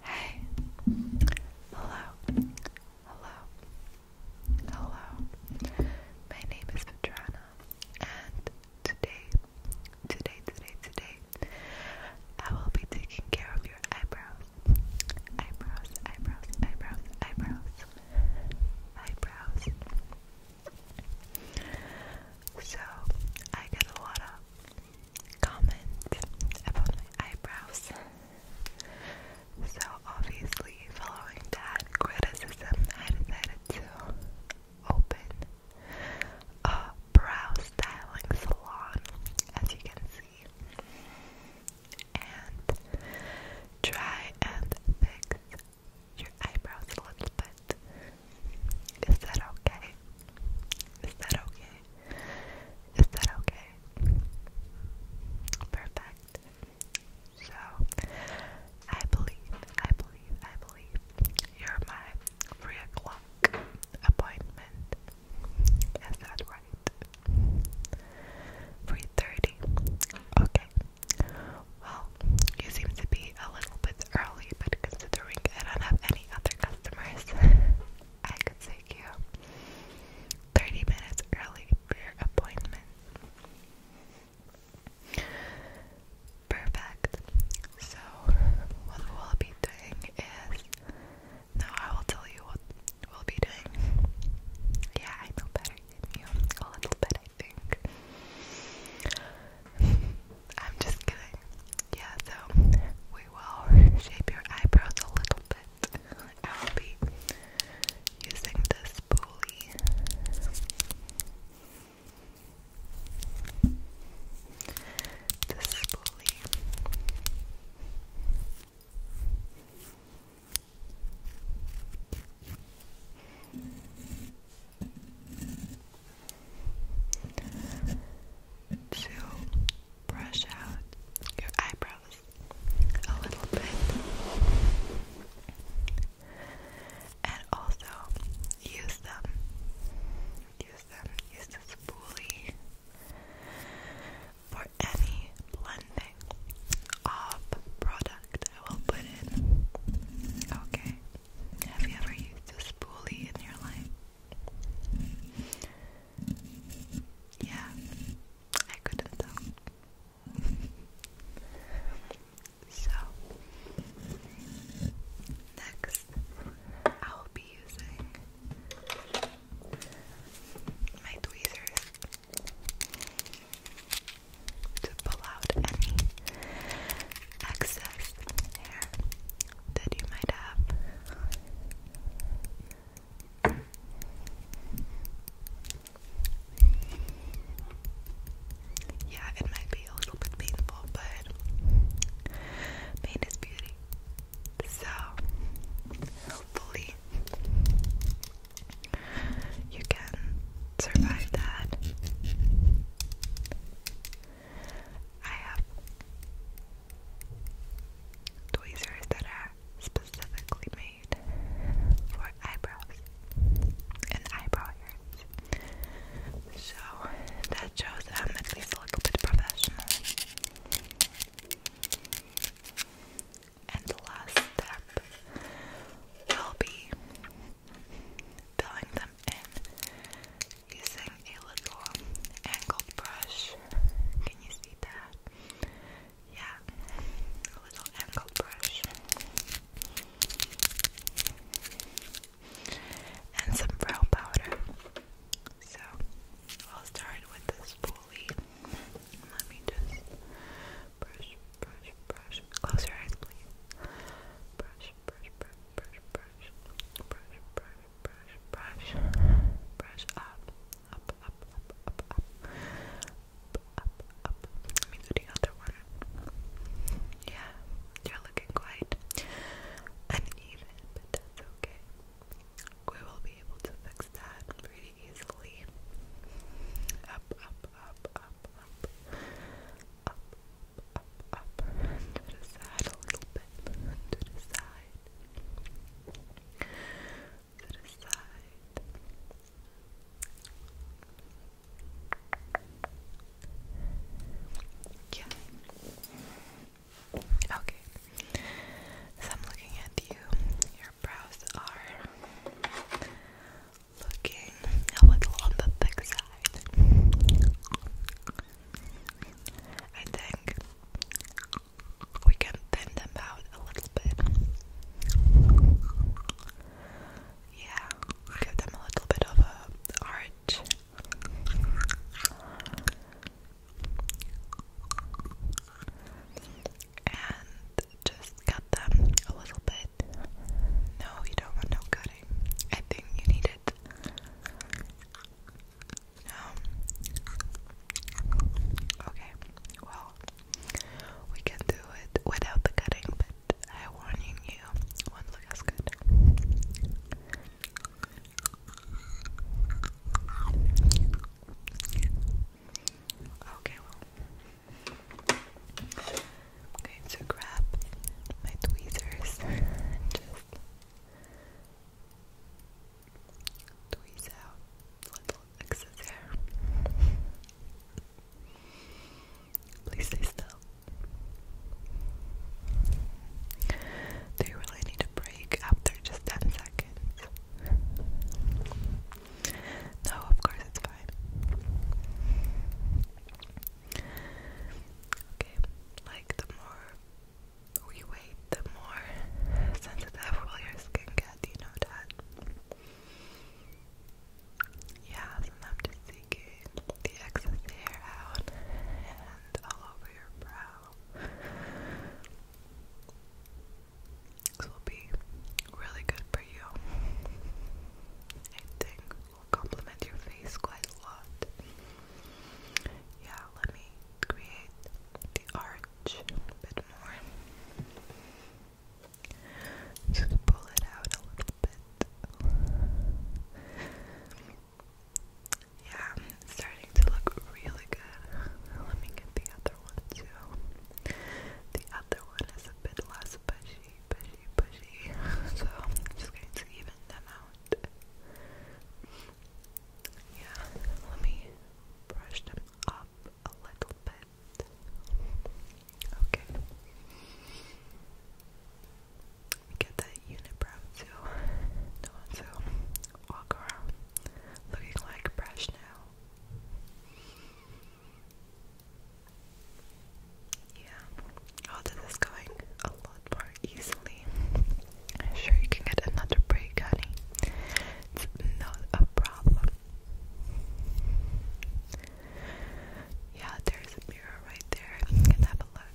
Hey, hello, hello, hello. My name is Petrana, and today, today, today, today, I will be taking care of your eyebrows, eyebrows, eyebrows, eyebrows, eyebrows, eyebrows. So I got a lot of comment about my eyebrows. So, obviously, following that criticism, I decided to open a brow styling salon, as you can see, and try and fix your eyebrows a little bit. Is that okay? Is that okay? Is that okay? Perfect. So, I believe, I believe, I believe you're my 3 o'clock appointment. Is that right? 3.30. Okay. Well, you seem to be a little bit early, but considering I don't have any other customers, I could take you 30 minutes early for your appointment. Perfect. So, what we'll be doing is. No, I will tell you what we'll be doing. Yeah, I know better A little bit, I think. I'm just kidding. Yeah, so we will shape your eyebrows a little bit. I will be using this spoolie. This spoolie to brush out your eyebrows a little bit and also use them use them use the spoolie for any blending of product I will put in okay have you ever used a spoolie in your life? Yeah, I couldn't though. so, next, I'll be using my tweezers to pull out any excess hair that you might have. Yeah, it might be a little bit painful, but pain is beauty. So, hopefully, you can survive that. I have tweezers that are specifically made for eyebrows and eyebrow hairs. So that shows i at least a little bit professional. And the last step will be filling them in using a little angled brush. Can you see that? Yeah, a little angled brush. And some brow powder. So I'll start with this pulley. Let me just brush brush, brush, brush. Close your eyes, please. Brush, brush, brush, brush, brush, brush, brush, brush, brush, brush up, up, up, up, up, up, up, up. Let me do the other one. Yeah, you're looking quite uneven, but that's okay. We will be able to fix that pretty easily. Up, up, up, up, up up, up, up, to the side a little bit, to the side, to the side. Yeah. Okay. So I'm looking at you. Your brows are looking a little on the thick side. I think we can thin them out a little bit. Yeah, give them a little bit of a arch just cut them a little bit. No, you don't want no cutting. I think you need it. No. Um, okay. Well, we can do it without the cutting, but I warning you, it look as good. Okay, well. I'm going to grab my tweezers and just tweeze out little excess hair. Please stay still. Do you really need a break after just 10 seconds? No, of course it's fine. Okay, like the more we wait, the more sensitive will your skin get, you know that? Yeah, so I'm just taking the excess hair out and all over your brow. This will be really good for you. I will complement your face quite a lot. Yeah, let me create the arch a bit more. Just pull it out a little bit. Yeah, starting to look really good. Let me get the other one too. The other one is a less pushy, pushy, pushy. so I'm just going to even them out. Yeah, let me brush them up a little bit. Okay. We get that unibrow too. do to walk around looking like brush now. Yeah, all oh, this going a lot more easily. I'm sure you can get another break, honey. It's not a problem. Yeah, there's a mirror right there. can have a look.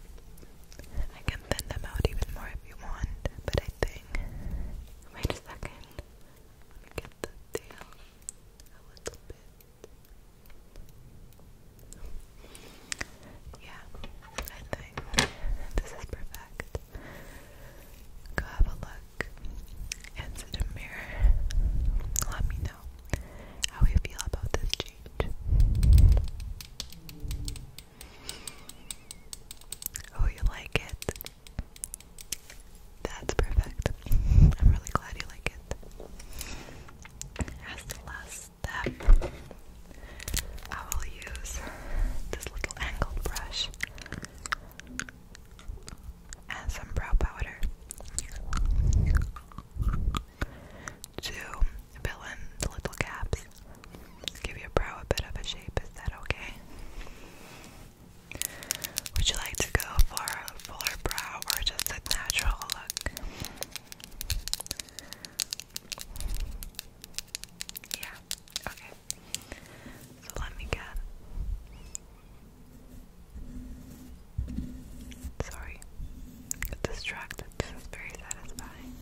I can thin them out even more if you want, but I think. Wait a second. I'm get the tail a little bit. Yeah, I this is perfect. Go have a look into the mirror. Let me know how you feel about this change. Oh, you like it? That's perfect. I'm really glad you like it. As the last step, I will use this little angled brush and some brow powder to fill in the little gaps. Give your brow a bit of a shape, is that okay? Would you like to go for a fuller brow or just a natural look? Yeah, okay. So let me get. Sorry, distracted. This is very satisfying.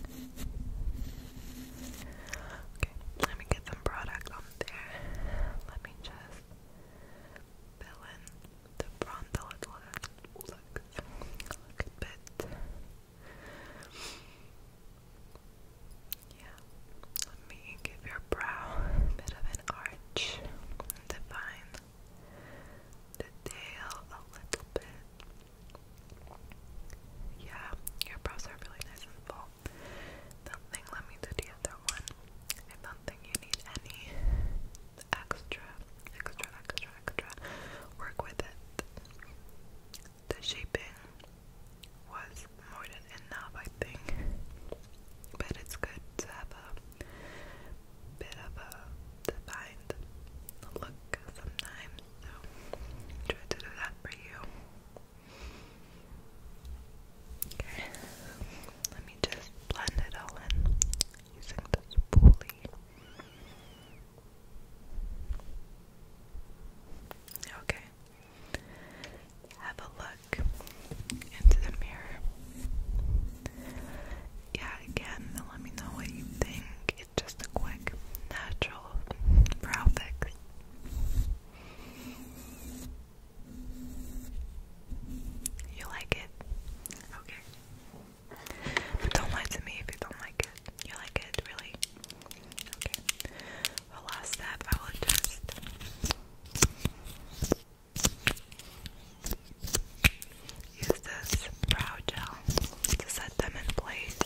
Okay, let me get some product there. Let me just fill in the frontal look a little bit. Yeah, let me give your brow a bit of an arch define the tail a little bit. Yeah, your brows are really nice and full. Something, let me do the other one. I do you need any extra, extra, extra, extra work with it. The shaping was more than enough, I think. But it's good to have a bit of a defined look sometimes. So try to do that for you. Okay, let me just blend it all in using the spoolie. Okay, have a look into the mirror. Yeah, again, let me know what you think just a quick, natural brow fix. You like it? Okay. But don't lie to me if you don't like it. You like it, really? Okay. Well, last step, I will just. Use this brow gel to set them in place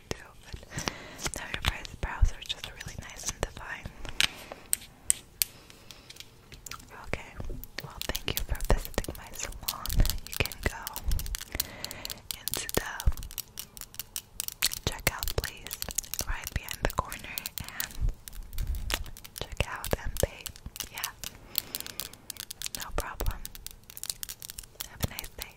one too, brows are just really nice and defined. Okay, well, thank you for visiting my salon. You can go into the checkout place right behind the corner and check out and pay. Yeah, no problem. Have a nice day.